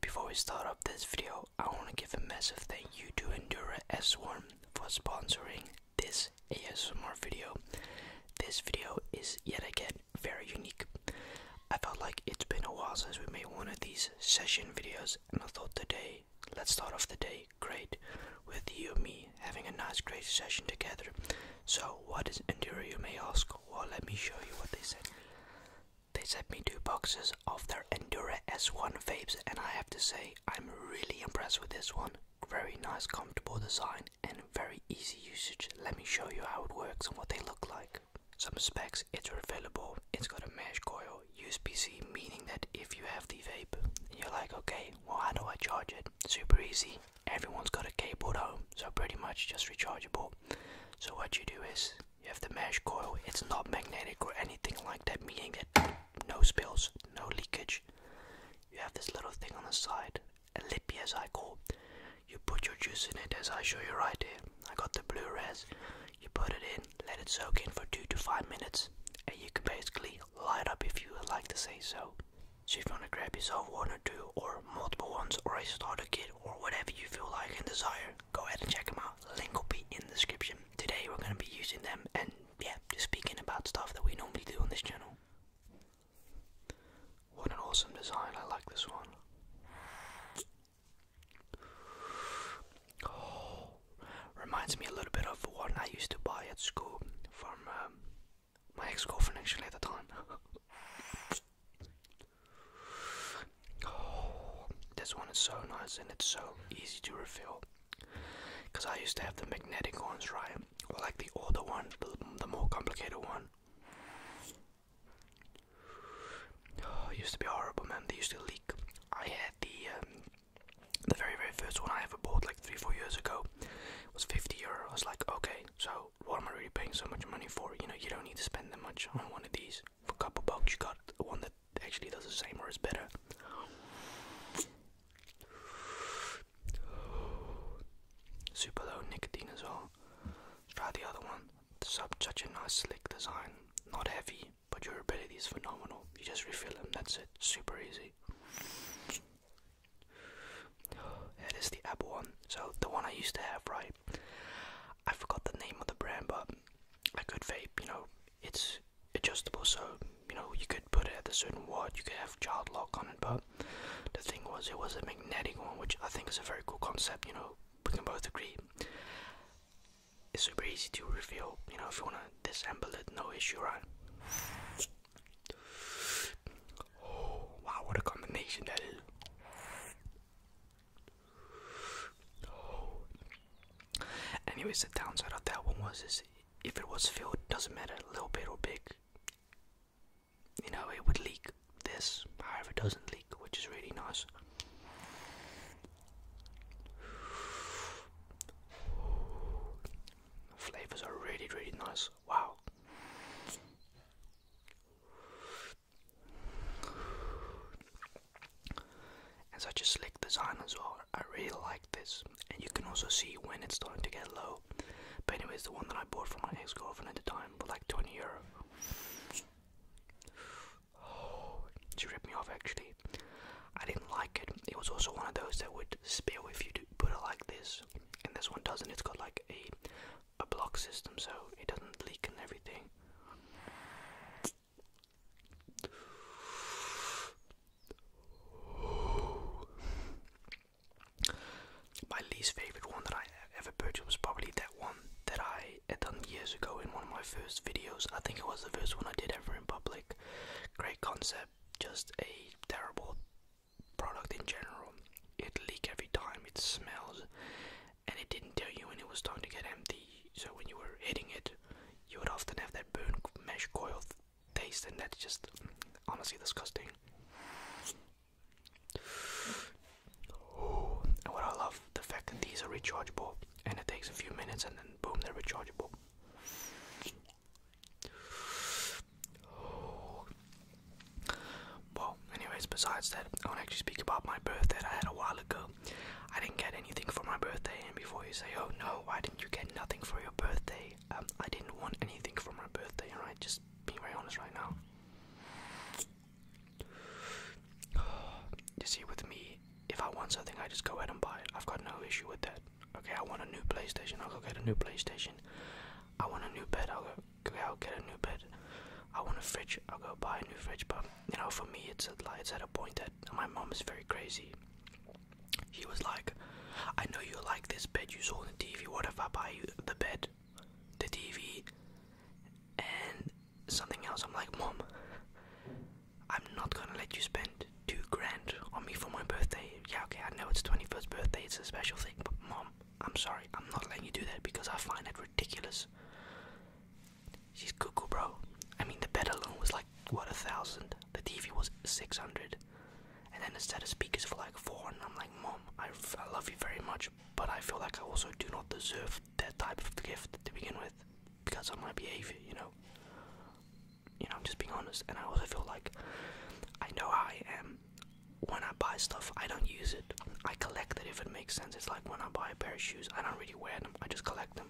Before we start off this video, I want to give a massive thank you to Endura S1 for sponsoring this ASMR video. This video is yet again very unique. I felt like it's been a while since we made one of these session videos and I thought today, let's start off the day great with you and me having a nice great session together. So what is Endura you may ask? Well let me show you what they sent me. They sent me two boxes of their Endura S1 vapes, and I have to say, I'm really impressed with this one. Very nice, comfortable design, and very easy usage. Let me show you how it works and what they look like. Some specs it's refillable, it's got a mesh coil, USB C, meaning that if you have the vape, you're like, okay, well, how do I charge it? Super easy. Everyone's got a cable at home, so pretty much just rechargeable. So, what you do is you have the mesh coil. It's not magnetic or anything like that, meaning that no spills, no leakage. You have this little thing on the side, a lippy as I call. You put your juice in it as I show you right here. I got the blue res. You put it in, let it soak in for two to five minutes, and you can basically light up if you would like to say so. So if you want to grab yourself one or two or multiple ones or a starter kit or whatever you feel like and desire, go ahead and check them out. Link will be in the description. Today we're going to be using them and yeah, just speaking about stuff that we normally do on this channel. What an awesome design, I like this one. reminds me a little bit of one I used to buy at school from um, my ex-girlfriend actually at the time. Oh, this one is so nice and it's so easy to refill. Because I used to have the magnetic ones, right? Or like the older one, the, the more complicated one. Oh, used to be horrible, man. They used to leak. I had the um, the very very first one I ever bought like three four years ago. It was 50 euro. I was like, okay, so what am I really paying so much money for? You know, you don't need to spend that much on one of these. For a couple bucks, you got one that actually does the same or is better. Super low nicotine as well. Try the other one. Such a nice slick design. Not heavy, but your ability is phenomenal. You just refill them, that's it. Super easy. It is the Apple one. So the one I used to have, right? I forgot the name of the brand, but I could vape, you know, it's adjustable, so you know you could put it at a certain watt, you could have child lock on it, but the thing was, it was a magnetic one, which I think is a very cool concept. You know, we can both agree. It's super easy to reveal. You know, if you wanna disassemble it, no issue, right? Oh, wow, what a combination that is! Anyways, the downside of that one was is if it was filled, doesn't matter, little bit or big. You know, it would leak this. However, it doesn't leak, which is really nice. flavors are really, really nice. Wow. As I just licked the sign as well, I really like this, and you can also see when it's starting to get low. But anyways, the one that I bought from my ex-girlfriend at the time for like 20 euro. she ripped me off actually. I didn't like it. It was also one of those that would spill if you put it like this, and this one doesn't. It's got like a a block system so it doesn't leak and everything. My least favorite one that I ever purchased was probably that one that I had done years ago in one of my first videos. I think it was the first one I did ever in public. Great concept, just a terrible product in general. It leak every time, it smells, and it didn't tell you when it was time to get empty. So when you were hitting it, you would often have that burn mesh coil taste, and that's just honestly disgusting. and what I love the fact that these are rechargeable, and it takes a few minutes, and then boom, they're rechargeable. Well, anyways, besides that, I want to actually speak about my birthday I had a while ago. I didn't get anything for my birthday, and before you say, oh no, why didn't you get nothing for your birthday? Um, I didn't want anything for my birthday, alright? Just being very honest right now. You see, with me, if I want something, I just go ahead and buy it. I've got no issue with that. Okay, I want a new PlayStation, I'll go get a new PlayStation. I want a new bed, I'll go I'll get a new bed. I want a fridge. I'll go buy a new fridge. But you know, for me, it's like it's at a point that my mom is very crazy. She was like, "I know you like this bed you saw on the TV. What if I buy you the bed, the TV, and something else?" I'm like, "Mom, I'm not gonna let you spend two grand on me for my birthday. Yeah, okay, I know it's 21st birthday. It's a special thing, but mom." I'm sorry, I'm not letting you do that because I find that ridiculous. She's cuckoo, bro. I mean, the bed alone was like, what, a thousand? The TV was 600. And then a set of speakers for like four, and I'm like, Mom, I, love you very much, but I feel like I also do not deserve that type of gift to begin with because of my behavior, you know? You know, I'm just being honest, and I also feel like I know how I am, when I buy stuff, I don't use it. I collect it if it makes sense. It's like when I buy a pair of shoes, I don't really wear them, I just collect them.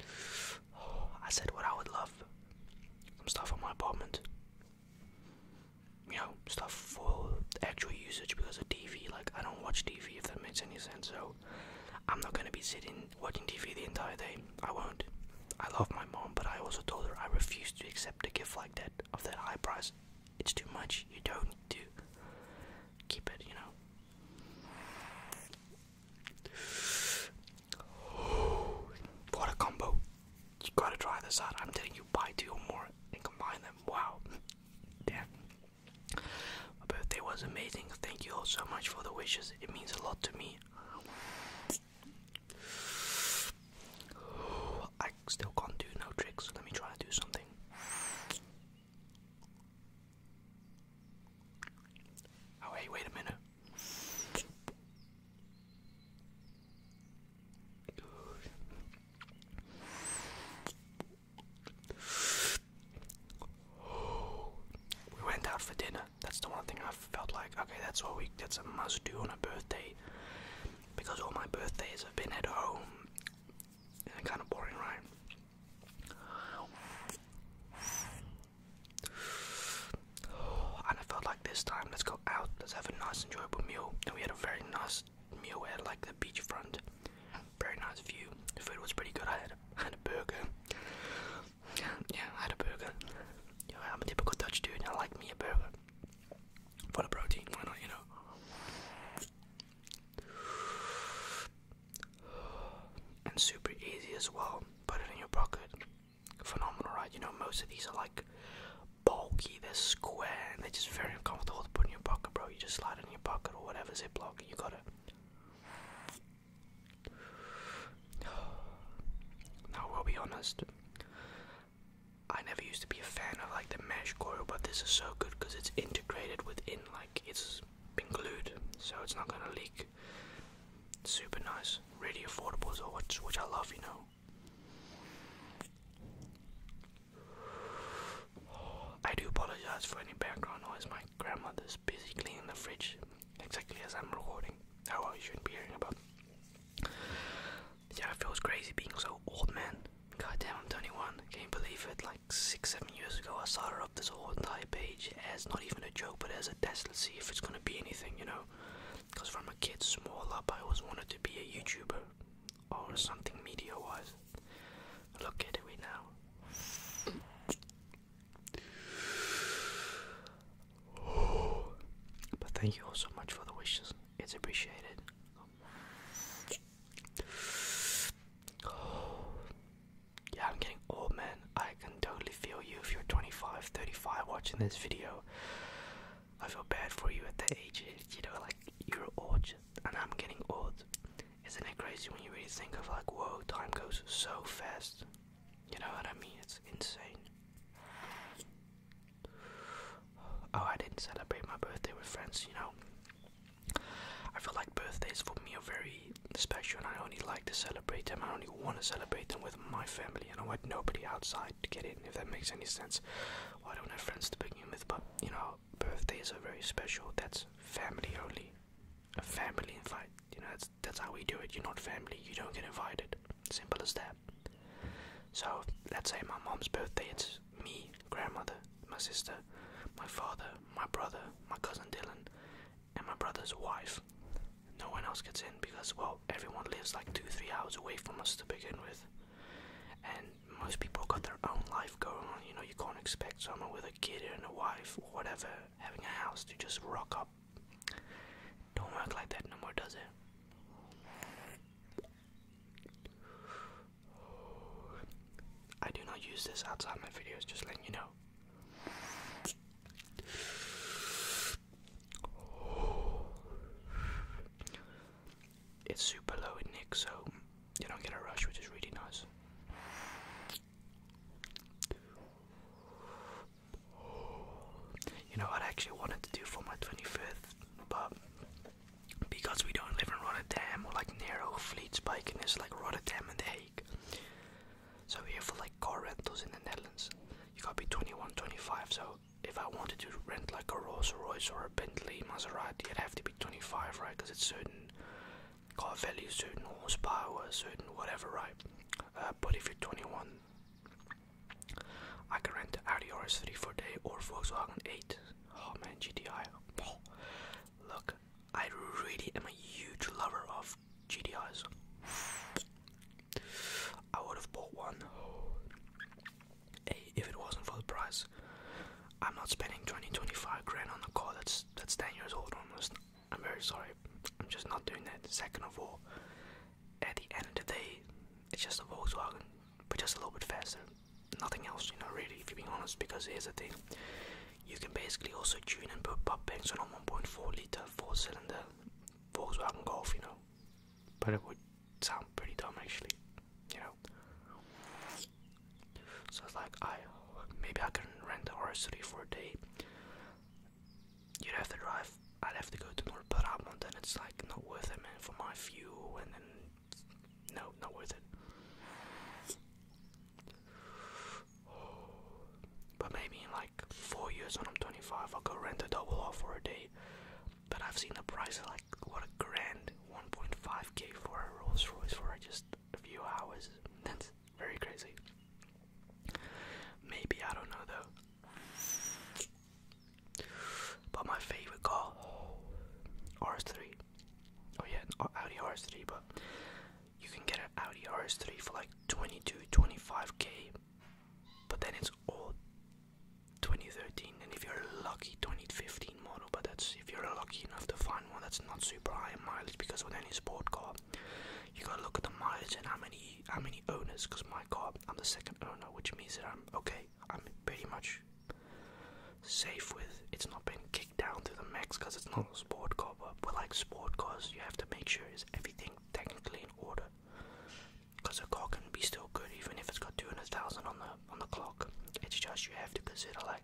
I said what I would love some stuff on my apartment. You know, stuff for actual usage because of TV. Like, I don't watch TV if that makes any sense, so I'm not gonna be sitting watching TV the entire day. I won't. I love my mom, but I also told her I refuse to accept a gift like of that high price. It's too much. You don't need to keep it, you know. What a combo. You gotta try this out. I'm telling you buy two or more and combine them. Wow. Damn. My birthday was amazing. Thank you all so much for the wishes. It means a lot to me. I still can't do no tricks, let me try to do something. Oh, hey, wait a minute. We went out for dinner that's the one thing I felt like, okay, that's what we that's a must do on a birthday. Because all my birthdays have been at home. And kinda boring, right? And I felt like this time, let's go out, let's have a nice enjoyable meal. And we had a very nice meal We had like the beachfront. Very nice view. The food was pretty good. I had a, I had a burger. Yeah, I had a burger. You I'm a typical Dutch dude, I like me a burger. For the protein, why not, you know? And super easy as well. Put it in your pocket. Phenomenal, right? You know, most of these are like bulky, they're square, and they're just very uncomfortable to put in your pocket, bro. You just slide it in your pocket or whatever ziplock, you got it. Now, we'll be honest. I never used to be a fan of like the mesh coil, but this is so good because it's integrated within, like it's been glued, so it's not gonna leak. super nice, really affordable so well, which, I love, you know. I do apologize for any background noise. My grandmother's busy cleaning the fridge, exactly as I'm recording. Oh, well, you shouldn't be hearing about yeah, it feels crazy being so old, man. God damn, I'm 21. Can't believe it. Like six, seven years ago, I started up this whole entire page as not even a joke, but as a test. Let's see if it's gonna be anything, you know. Because from a kid small up, I always wanted to be a YouTuber or something media-wise. Look at it now. But thank you all so much for the wishes. It's appreciated. Yeah, I'm getting old, man. I can totally feel you if you're 25, 35 watching this video. I feel bad for you at that age. You know, like, you're old, and I'm getting old. Isn't it crazy when you really think of, like, whoa, time goes so fast? You know what I mean? It's insane. Oh, I didn't celebrate my birthday with friends, you know. I feel like birthdays for me are very special, and I only like to celebrate them. I only want to celebrate them with my family, and I want nobody outside to get in, if that makes any sense. I don't have friends to begin with, but you know, birthdays are very special. That's family only, a family invite. You know, that's how we do it. You're not family, you don't get invited. Simple as that. So let's say my mom's birthday, it's me, grandmother, my sister, my father, my brother, my cousin Dylan, and my brother's wife. No one else gets in because well everyone lives like two, three hours away from us to begin with. And most people got their own life going on, you know, you can't expect someone with a kid and a wife or whatever having a house to just rock up don't work like that no more, does it? I do not use this outside my videos, just letting you know. It's super low in Nick, so you don't get a rush, which is really nice. You know, I actually wanted to do for my 25th, but because we don't live in Rotterdam or like near Fleetspike and it's like Rotterdam and The Hague. So here for like car rentals in the Netherlands, you gotta be 21, 25. So if I wanted to rent like a Rolls Royce or a Bentley Maserati, I'd have to be 25, right? Because it's certain car value, certain horsepower, certain whatever, right? uh, if you 21, I can rent Audi RS3 for day or Volkswagen 8. Oh man, GTI. Look, I really am a huge lover of GTIs. I would have bought one if it wasn't for the price. I'm not spending 20, 25 grand on a car that's that's 10 years old almost. I'm very sorry. I'm just not doing that. Second of all, at the end of the day, it's just a Volkswagen, but just a little bit faster. Nothing else, you know, really, if you're being honest, because here's the thing. You can basically also tune and put pop banks on a 1.4 litre four cylinder Volkswagen Golf, you know. But it would sound pretty dumb actually, you know. So it's like I maybe I can rent the r 3 for a day you'd have to drive. I'd have to go to North Brabant, and it's like not worth it, man, for my fuel, and then no, not worth it. But maybe in like four years when I'm 25, I'll go rent a double R for a day. But I've seen the price of like what a grand, 1.5k for a Rolls Royce for just a few hours. That's very crazy. Maybe I don't know though. But my favorite car, RS3. Oh yeah, Audi RS3, but you can get an Audi RS3 for like 22, 25k. But then it's all 2013, and if you're lucky, 2015 model. But that's if you're lucky enough to find one that's not super high mileage, because with any sport car, you gotta look at the mileage and how many how many owners. Cause my car, I'm the second owner, which means that I'm okay. I'm pretty much safe with. It's not been kicked down to the max because it's not a sport car. But, like sport cars, you have to make sure it's everything technically in order. Cause a car can be still good even if it's got two hundred thousand on the on the clock. It's just you have to consider like,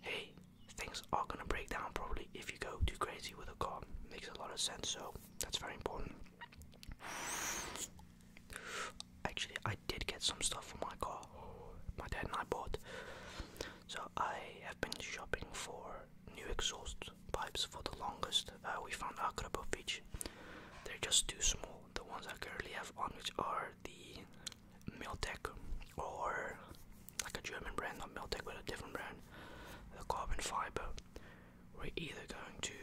hey, things are gonna break down probably if you go too crazy with a car. Makes a lot of sense, so that's very important. Actually, I did get some stuff for my car. My dad and I bought. So I have been shopping for new exhaust pipes for the longest. Uh, we found a couple of Beach. They're just too small. The ones I currently have on, which are the Miltec or like a German brand, not Meltec, but a different brand, the carbon fiber. We're either going to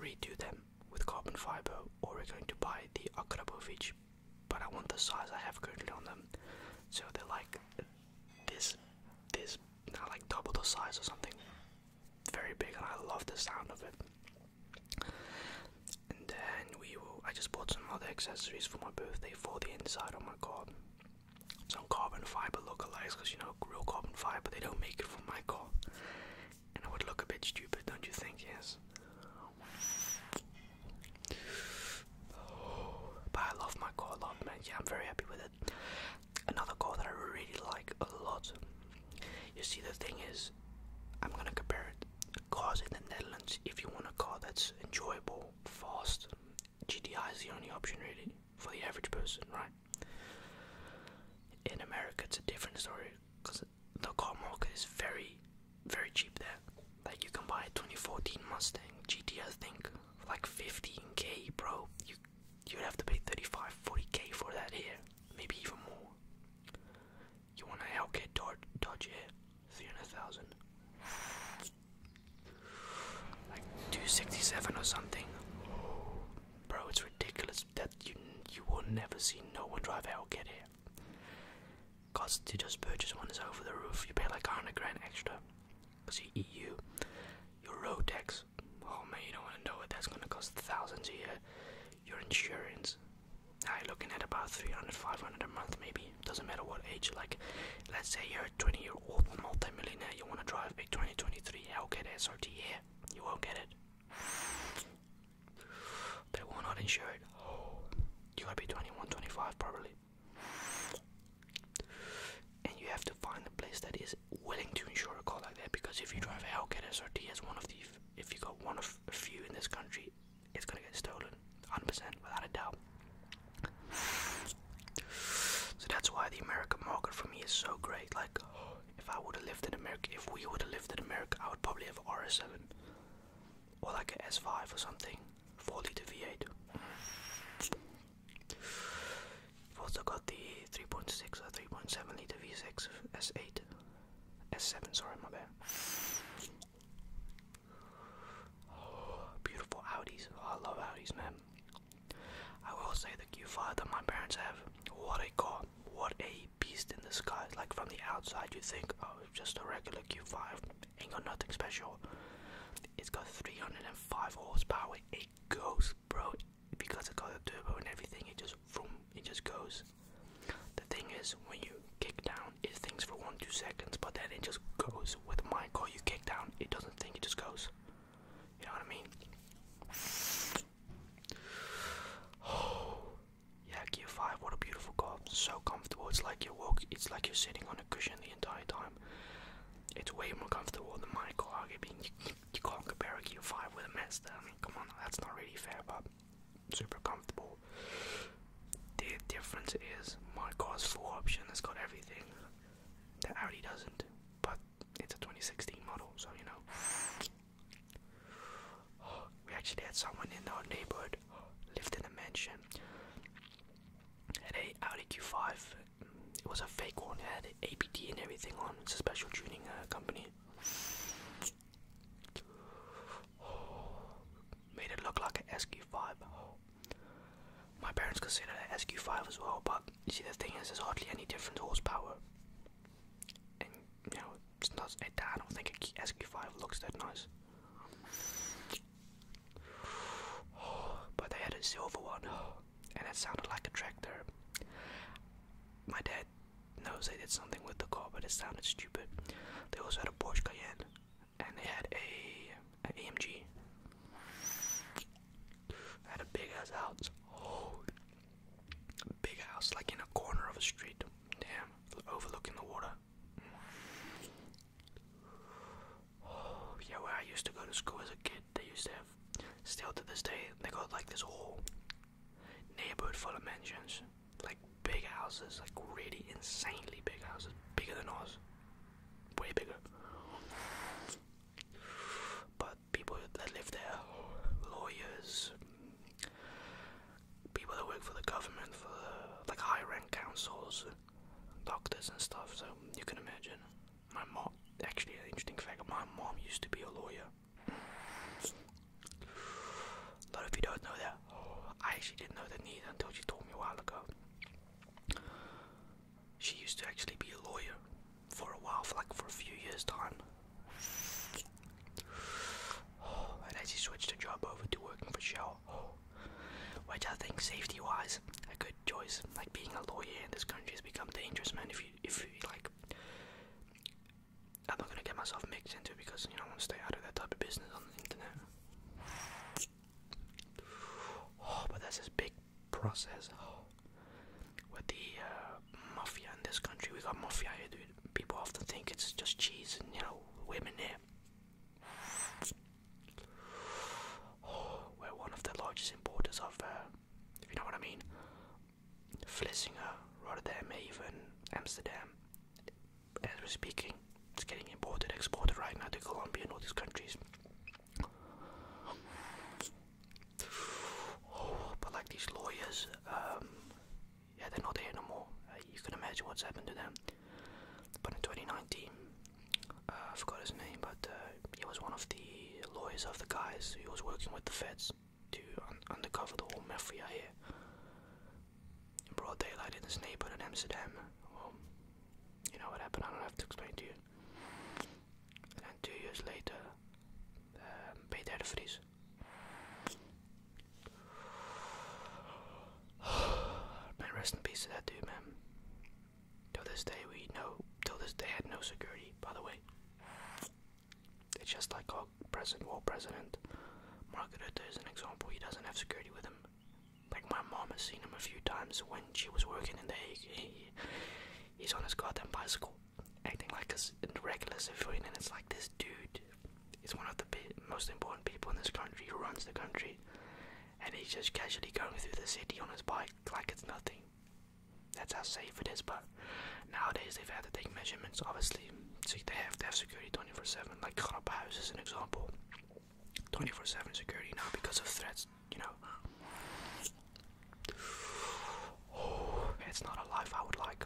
redo them with carbon fiber or we're going to buy the Akrapovic, but I want the size I have currently on them. So they're like this, this, now like double the size or something. Very big, and I love the sound of it. And then we will. I just bought some other accessories for my birthday for the inside of my my god. Some carbon fiber lookalikes, because you know, real carbon fiber, they don't make it for my car. And I would look a bit stupid, don't you think? Yes. but I love my car a lot, man. Yeah, I'm very happy with it. Another car that I really like a lot. You see, the thing is, I'm gonna compare it. Cars in the Netherlands, if you want a car that's enjoyable fast. GDI is the only option really for the average person, right? In America, it's a different story because the car market is very, very cheap there. Like you can buy a 2014 Mustang GT, think, like 15k, bro. You you'd have to pay 35, 40k for that here, maybe even more. You want a Hellcat Dodge, Dodge here? 300,000. Like 267 or something. Bro, it's ridiculous that you you will never see no one drive out get here. Cost to just purchase one is over the roof. You pay like 100 grand extra. Because you EU, your road tax. Oh man, you don't want to know what that's going to cost thousands a year. Your insurance you're looking at about 300 500 a month maybe doesn't matter what age like let's say you're a 20 year old multimillionaire, you want to drive a 2023 Hellcat SRT yeah you won't get it they will not insure it you gotta be 21 25 probably and you have to find a place that is willing to insure a car like that because if you drive a Hellcat SRT as one of the if you got one of a few in this country it's gonna get stolen, 100% without a doubt. So that's why the American market for me is so great. Like, if I would have lived in America, if we would have lived in America, I would probably have RS7 or like an S5 or something, 4 liter V8. also got the 3.6 or 3.7 liter V6, S8, S7, sorry, my bad. Oh, beautiful Audis. Oh, I love Audis, man. I will say the Q5 that my parents have. What a car! What a beast in the sky. Like from the outside, you think, oh, just a regular Q5. Ain't got nothing special. It's got 305 horsepower. It goes, bro. Because it got a turbo and everything, it just vroom, it just goes. The thing is, when you kick down it thinks for one two seconds, but then it just goes. With my call, you kick down, it doesn't think, it just goes. You know what I mean? yeah, gear five. What a beautiful car. So comfortable. It's like you walk. It's like you're sitting on a cushion the entire time. It's way more comfortable than my car. I mean, you, can't compare a gear five with a Mazda. I mean, come on, that's not really fair, but super comfortable. The difference is my car's full option, it's got everything that Audi doesn't, but it's a 2016 model, so you know. We actually had someone in our neighborhood lived in a mansion. Had a Audi Q5. It was a fake one. had APT and everything on. It's a special tuning uh, company. Made it look like an SQ5. My parents considered an SQ5 as well, but you see, the thing is, there's hardly any different horsepower. And, you know, it's not, a it, I don't think a SQ5 looks that nice. But they had a silver one, and it sounded like a tractor. My dad knows they did something with the car, but it sounded stupid. They also had a Porsche Cayenne, and they had a, a AMG. Had a big ass house. big house, like in a corner of a street. Damn, overlooking the water. Oh, yeah, where I used to go to school as a kid, they used to have. Still to this day, they got like this whole neighborhood full of mansions like big houses, like really insanely big houses, bigger than ours, way bigger. But people that live there, lawyers, people that work for the government, for the, like high rank councils, doctors and stuff. So you can imagine. My mom, actually, an interesting fact: my mom used to be a lawyer. A lot of you don't know that. I actually didn't know that need until she told me a while ago. She used to actually be a lawyer for a while, for like for a few years' time. And as she switched the job over to working for Shell. Which I think, safety-wise, a good choice. Like being a lawyer in this country has become dangerous, man. If you, if you like, I'm not gonna get myself mixed into it because you know I want to stay out of that type of business on the internet. Oh, but there's this big process with the uh, mafia in this country. We got mafia dude. People often think it's just cheese and you know women here. we're one of the largest importers of, uh, if you know what I mean, Vlissingen, Rotterdam, even Amsterdam, as we're speaking, it's getting imported, exported right now to Colombia and all these countries. Oh, but like these lawyers, um, yeah, they're not here no more. Uh, you can imagine what's happened to them. But in 2019, uh, I forgot his name, but uh, he was one of the lawyers of the guys who was working with the feds to un undercover the whole mafia here in broad daylight in this neighborhood in Amsterdam. you know what happened, I don't have to explain to you. And two years later, um, Peter de Vries. man, rest in peace to that dude, man. Till this day, we know, till this day, had no security, by the way. It's just like our present war president. Mark Rutte is an example. He doesn't have security with him. Like my mom has seen him a few times when she was working in the Hague. he's on his goddamn bicycle, acting like a regular civilian, and it's like this dude is one of the most important people in this country who runs the country, and he's just casually going through the city on his bike like it's nothing. That's how safe it is, but Nowadays, they've had to take measurements, obviously. they have to have security 24 7. Like Kharab House is an example. 24 7 security now because of threats, you know. it's not a life I would like.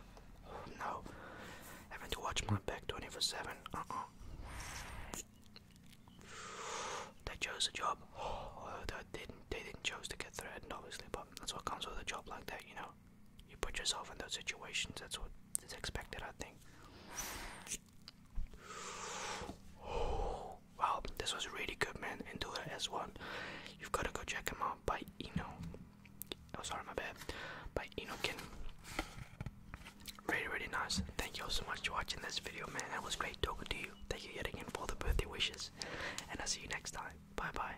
No. Having to watch my back 24 7. Uh uh. They chose a job. Oh, they didn't. They didn't chose to get threatened, obviously. But that's what comes with a job like that, you know you put yourself in those situations. That's what is expected, I think. wow, this was really good, man. And do it as well. You've got to go check him out by Eno. Oh, sorry, my bad. By Enokin. Really, really nice. Thank you all so much for watching this video, man. It was great talking to you. Thank you yet again for the birthday wishes. And I'll see you next time. Bye bye.